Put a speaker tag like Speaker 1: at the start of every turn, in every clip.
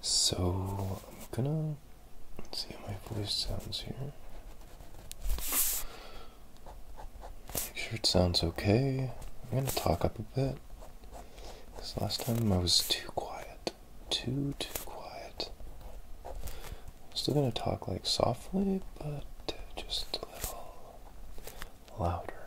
Speaker 1: So I'm gonna see how my voice sounds here. Make sure it sounds okay. I'm gonna talk up a bit. This last time I was too quiet. Too too quiet. still gonna talk like softly, but just a little louder.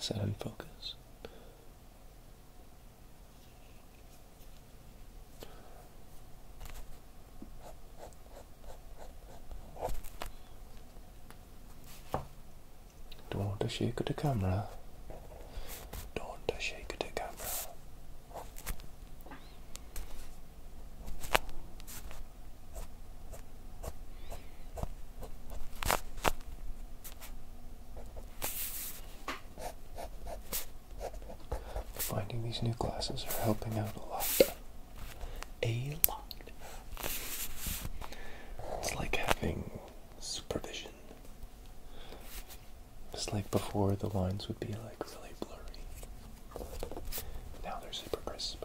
Speaker 1: Is that in focus? Don't shake the camera. Don't shake the camera. Finding these new glasses are helping out a lot. A lot. It's like having supervision. Just like before, the lines would be like really blurry. Now they're super crisp.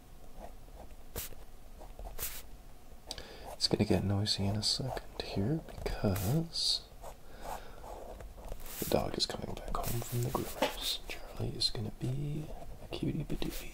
Speaker 1: It's going to get noisy in a second here because the dog is coming back home from the groomers. Charlie is going to be a cutie patootie.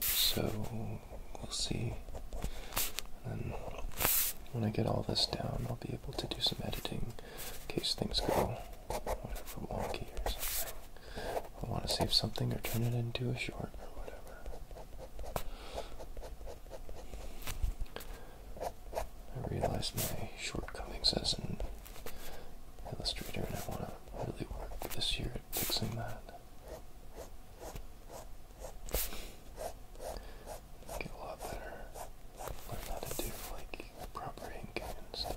Speaker 1: So we'll see. And when I get all this down, I'll be able to do some editing in case things go whatever wonky or something. I want to save something or turn it into a short or whatever. I realize my shortcomings as an illustrator, and I want to really work this year at fixing that. Get a lot better. Learn how to do like proper inking and stuff.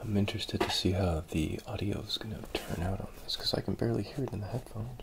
Speaker 1: I'm interested to see how the audio is going to turn out on this because I can barely hear it in the headphones.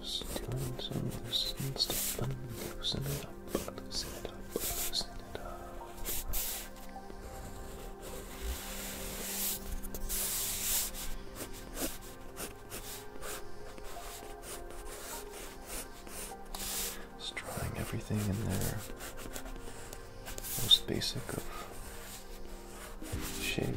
Speaker 1: Just doing some loosening stuff and loosen it up, loosen it up, loosen it up. Just drawing everything in their most basic of shapes.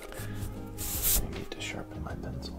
Speaker 1: I need to sharpen my pencil.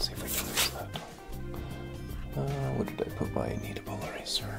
Speaker 1: See if I can use that. Uh, where did I put my needable eraser?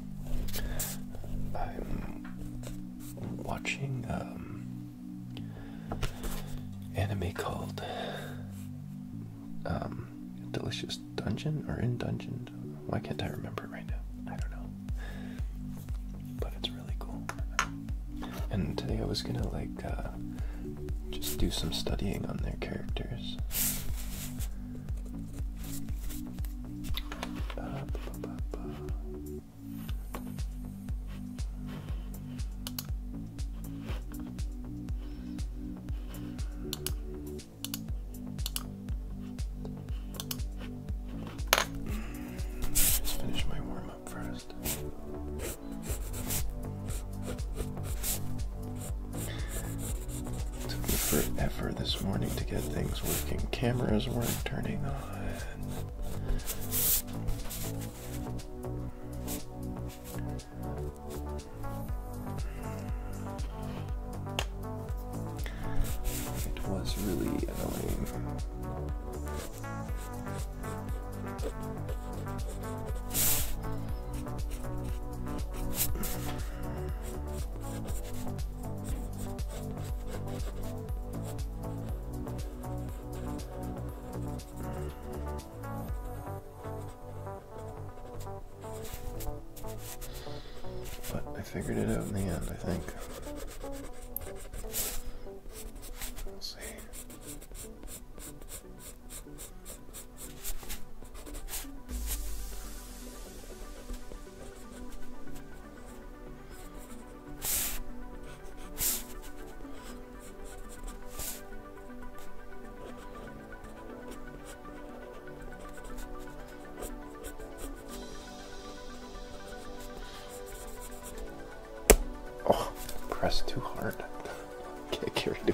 Speaker 1: I'm watching um anime called um, Delicious Dungeon or In Dungeon. Why can't I remember it right now? I don't know. But it's really cool. And today I was gonna like uh, just do some studying on their characters. Let's finish my warm up first. It took me forever this morning to get things working. Cameras weren't turning on. It was really annoying.
Speaker 2: But I figured it out
Speaker 1: in the end, I think. Let's see. Oh, press too hard. Get carried away.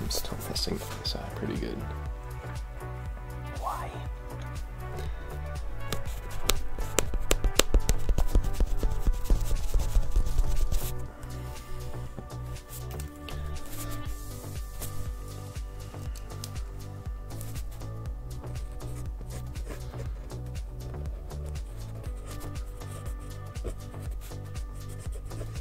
Speaker 1: I'm still messing this up pretty good. Why?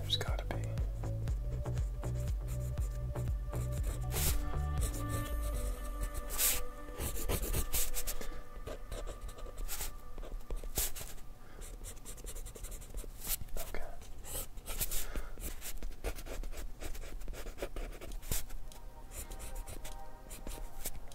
Speaker 1: There's gotta be. Okay.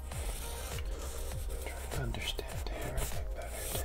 Speaker 1: trying to understand everything better too.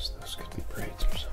Speaker 1: So those could be braids or something.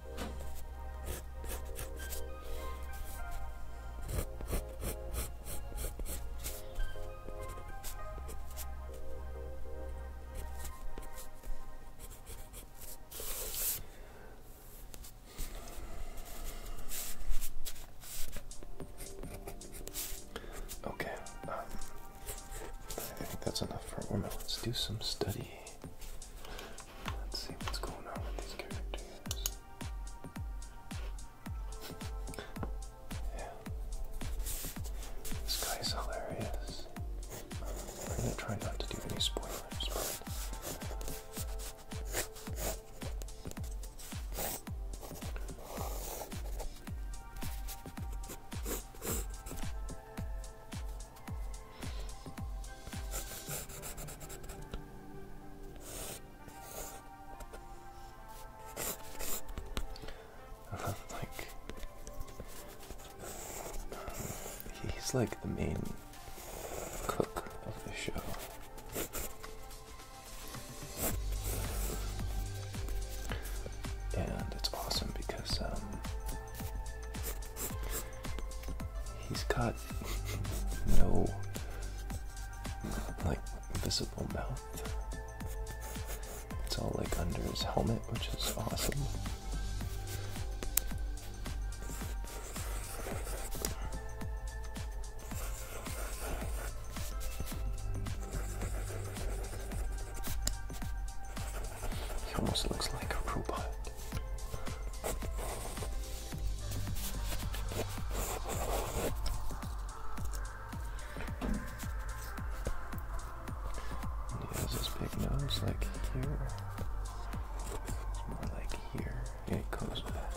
Speaker 1: Okay, um, I think that's enough for a woman. Let's do some study. Let's see what's going on with these characters. yeah. This guy's hilarious. I'm gonna try not to do any spoilers, like he's like the main cook of the show. And it's awesome because um, He's got no like visible mouth. It's all like under his helmet, which is awesome. He almost looks like a robot. he has this big nose like here. It's more like here. And it goes back.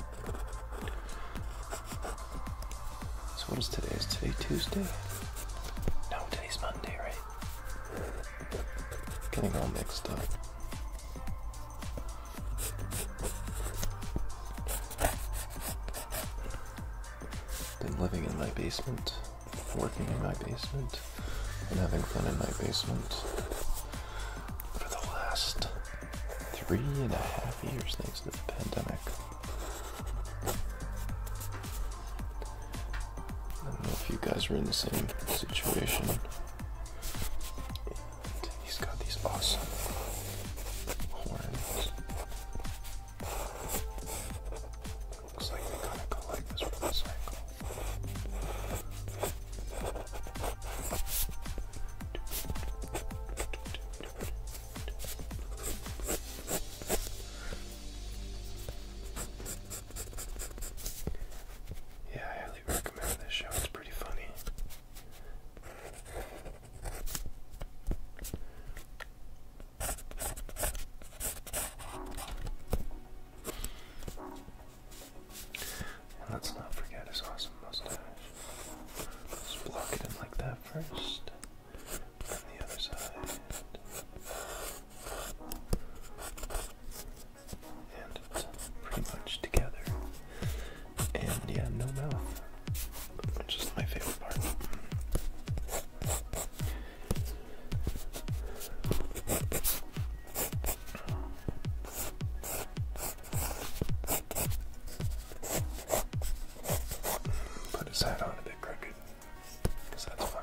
Speaker 1: So what is today? Is today Tuesday? No, today's Monday, right? Getting all mixed up. Been living in my basement, working in my basement, and having fun in my basement for the last three and a half years thanks to the pandemic. I don't know if you guys are in the same situation. And he's got these awesome horns. Looks like they kind of go like this from Yeah, pretty funny. let's not forget his awesome mustache. let block it in like that first. On the other side and pretty much together. And yeah, no mouth, which is my favorite part. Put his hat on a bit crooked, because that's fine.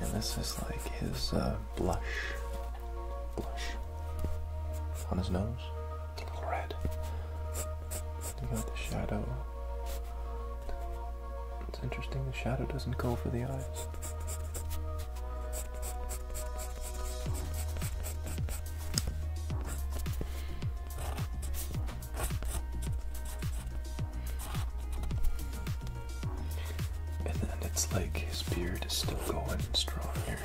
Speaker 1: And this is like his uh, blush, blush on his nose, a little red. You got the shadow it's interesting the shadow doesn't go for the eyes. And it's like his beard is still going strong here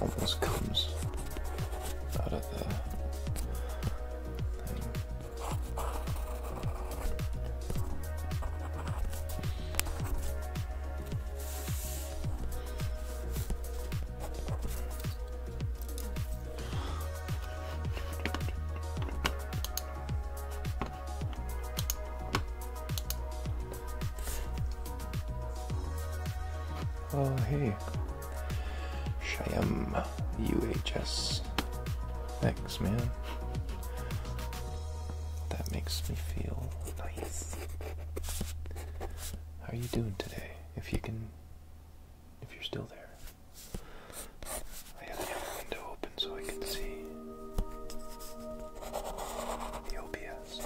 Speaker 1: almost comes out of the Oh, hey, Shay. UHS X man. That makes me feel nice. How are you doing today? If you can if you're still there. I have the other window open so I can see the OBS.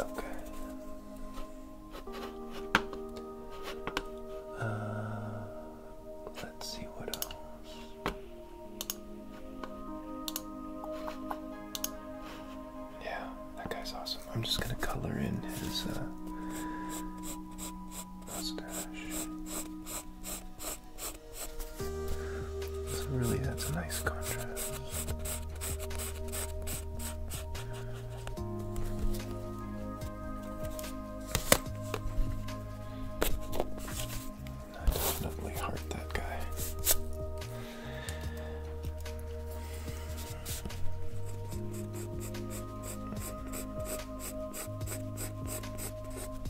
Speaker 1: Okay. Uh, let's see what else. Yeah, that guy's awesome. I'm just gonna color in his uh, mustache. So really that's a nice contrast. definitely hurt that guy.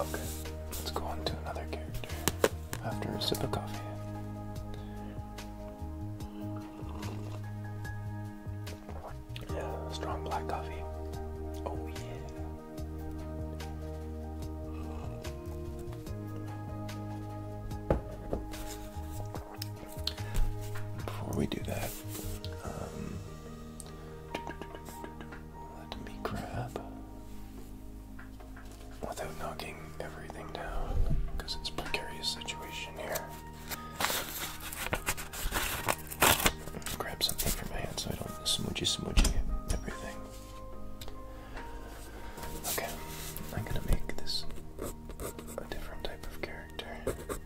Speaker 1: Okay, let's go on to another character after a sip of coffee. Yeah, strong black coffee. Oh, yeah. Before we do that, um, let me grab without knocking everything down because it's precarious situation here. Grab something from my hand so I don't smoochy smoochy everything. Okay, I'm gonna make this a different type of character character.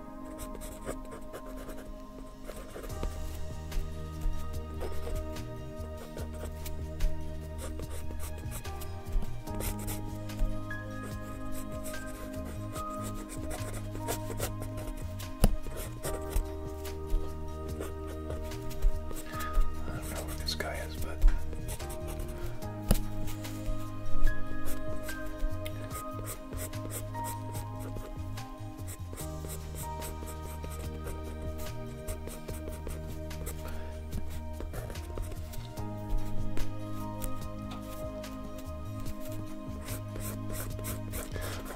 Speaker 1: I don't know where this guy is, but I'll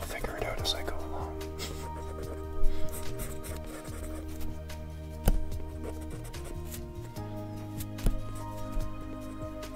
Speaker 1: figure it out as I go along.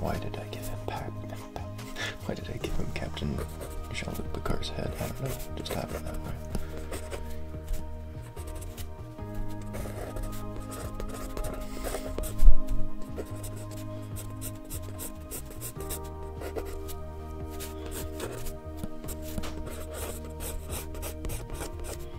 Speaker 1: Why did I give him Pat? Why did I give him Captain Jean-Luc Picard's head? I don't know. Just happened that way.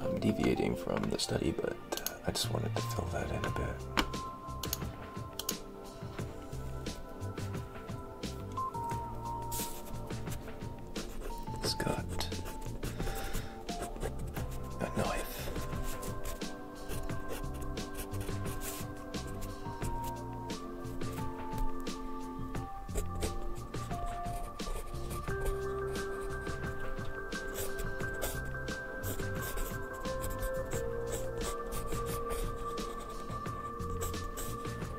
Speaker 1: I'm deviating from the study, but uh, I just wanted to fill that in a bit. It's got a knife.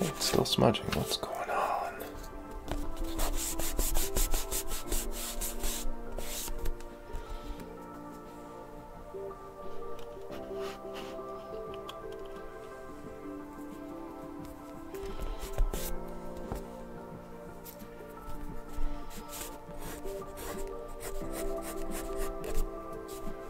Speaker 1: it's still smudging. What's going on?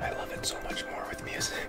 Speaker 1: I love it so much more with music.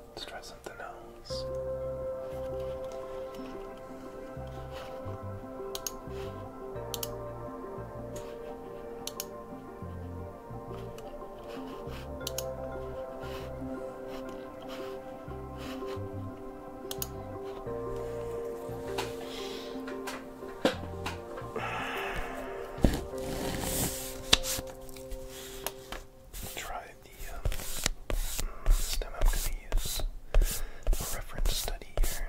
Speaker 1: Let's try something else try the stem um, I'm going to use. A reference study here.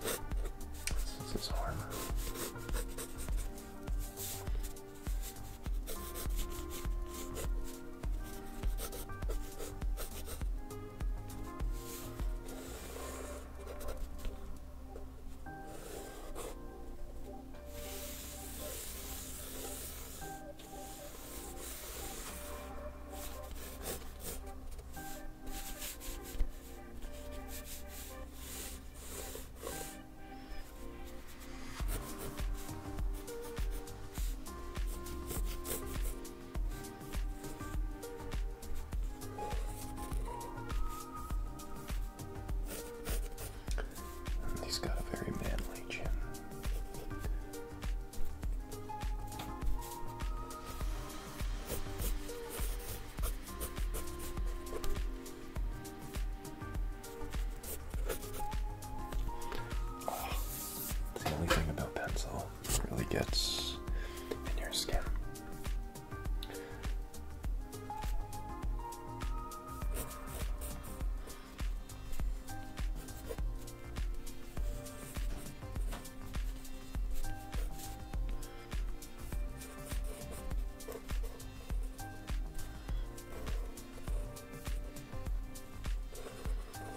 Speaker 1: Since it's armor he's got a very manly chin the only thing about pencil really gets in your skin.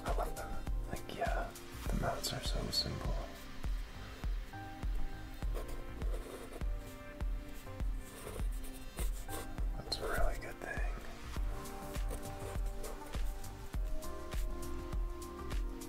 Speaker 1: I love them. Like, yeah, the mounts are so simple. That's a really good thing.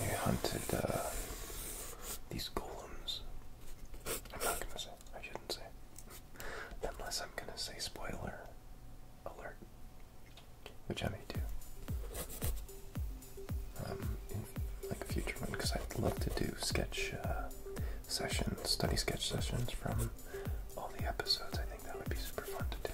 Speaker 1: You hunted uh, these golems. I'm not gonna say. I shouldn't say. Unless I'm gonna say spoiler alert which I may do. Um, in like a future one, because I'd love to do sketch uh, sessions, study sketch sessions from all the episodes. I think that would be super fun to do.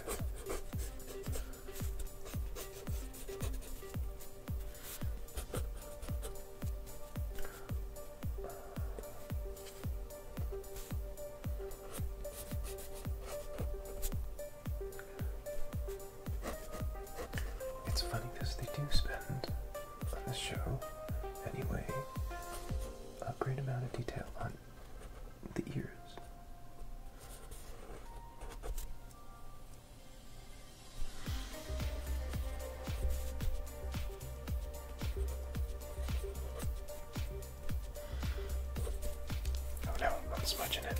Speaker 1: It's funny because they do spend on the show, anyway, a great amount of detail on the ears. Oh no, I'm smudging it.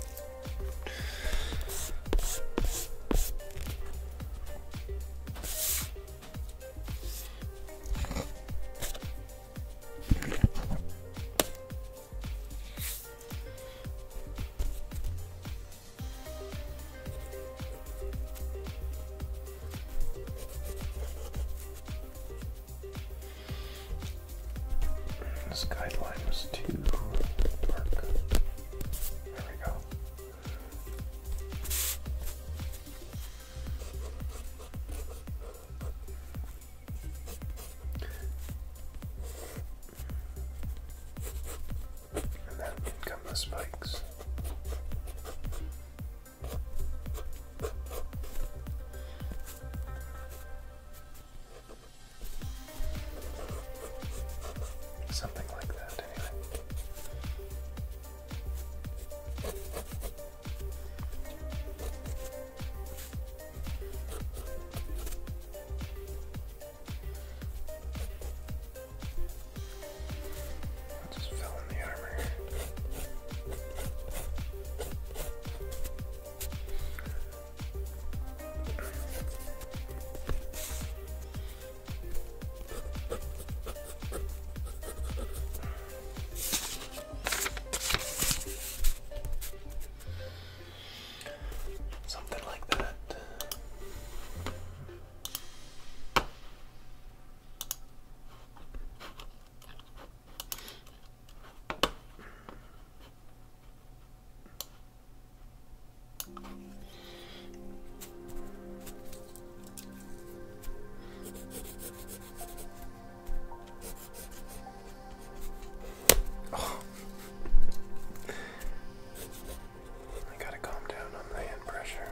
Speaker 1: This guideline was too dark. There we go. And then come the spikes.
Speaker 2: Something like that, anyway. I just fill in the armor. Something like that. Oh. I gotta calm down on the hand pressure.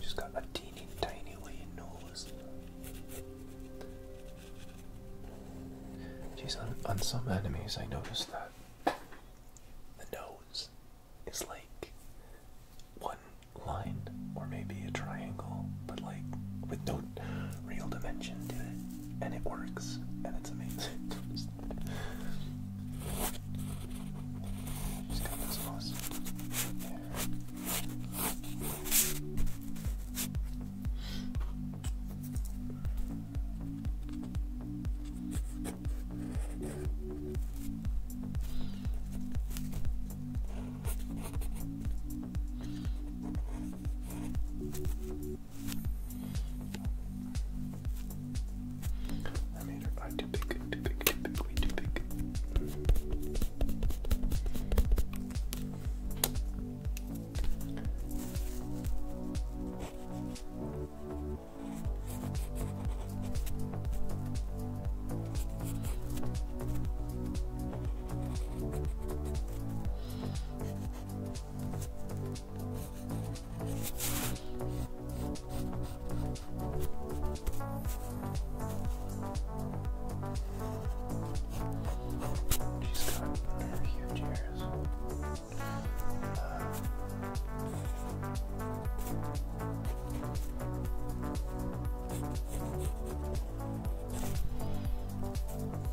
Speaker 1: She's got a teeny tiny little nose. Jeez, on, some enemies. I noticed that the nose is like one line or maybe a triangle, but like with no real dimension to it, and it works, and it's amazing. Just got this moss I made her eye too big, too big, too big, way too big.
Speaker 2: She's got huge uh, ears.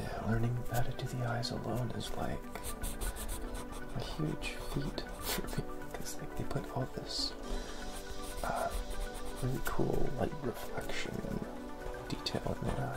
Speaker 1: Yeah, learning how to do the eyes alone is like a huge feat for me because like, they put all this uh, really cool light reflection and detail in there.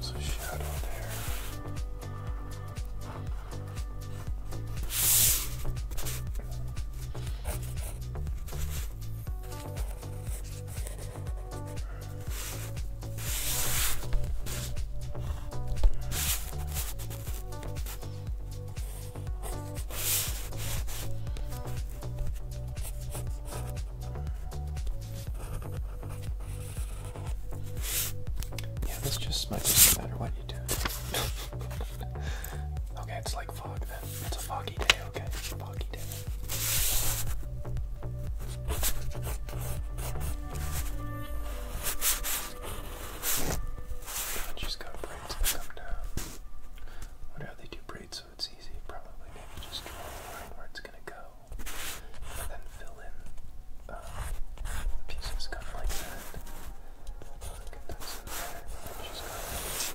Speaker 1: There's a shadow there. Yeah, this just might no matter what you do. okay, it's like fog then. It's a foggy day. Okay, okay. got braids that come down. Wonder how they do braids so it's easy. Probably maybe just draw the line where it's gonna go, and then fill in uh, pieces kind like that. Look at this in there. I just got.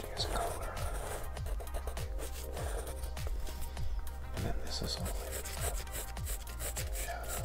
Speaker 1: There's color. And then this is only shadow.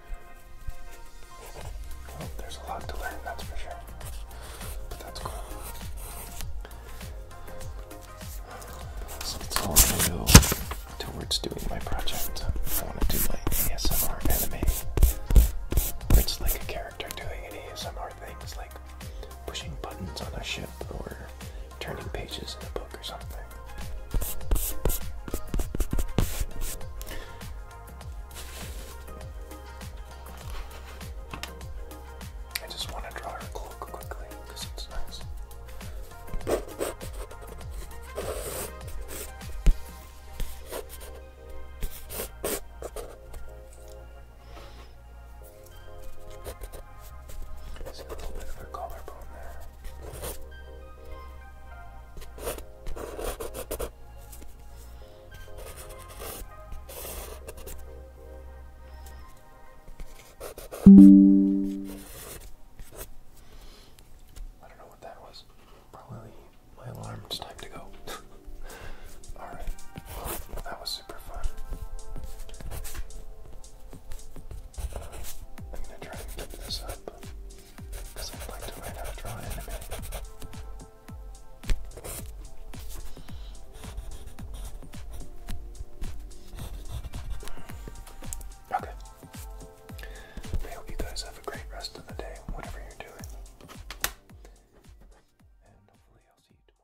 Speaker 1: Well, there's a lot to learn, that's for sure. But that's cool. So it's all I go towards doing my project. I want to do my ASMR anime. Where it's like a character doing an ASMR thing. It's like pushing buttons on a ship or turning pages in a book or something. I just want to draw her cloak quickly because it's nice. see a little bit of a collarbone there. I don't know what that was. Probably my alarm. It's time to go. Alright. Well, that was super fun. Uh, I'm gonna try and keep this up because I'd like to learn how to draw anime. Okay. I hope you guys have a great rest of the day, whatever you're doing. And hopefully, I'll see you tomorrow.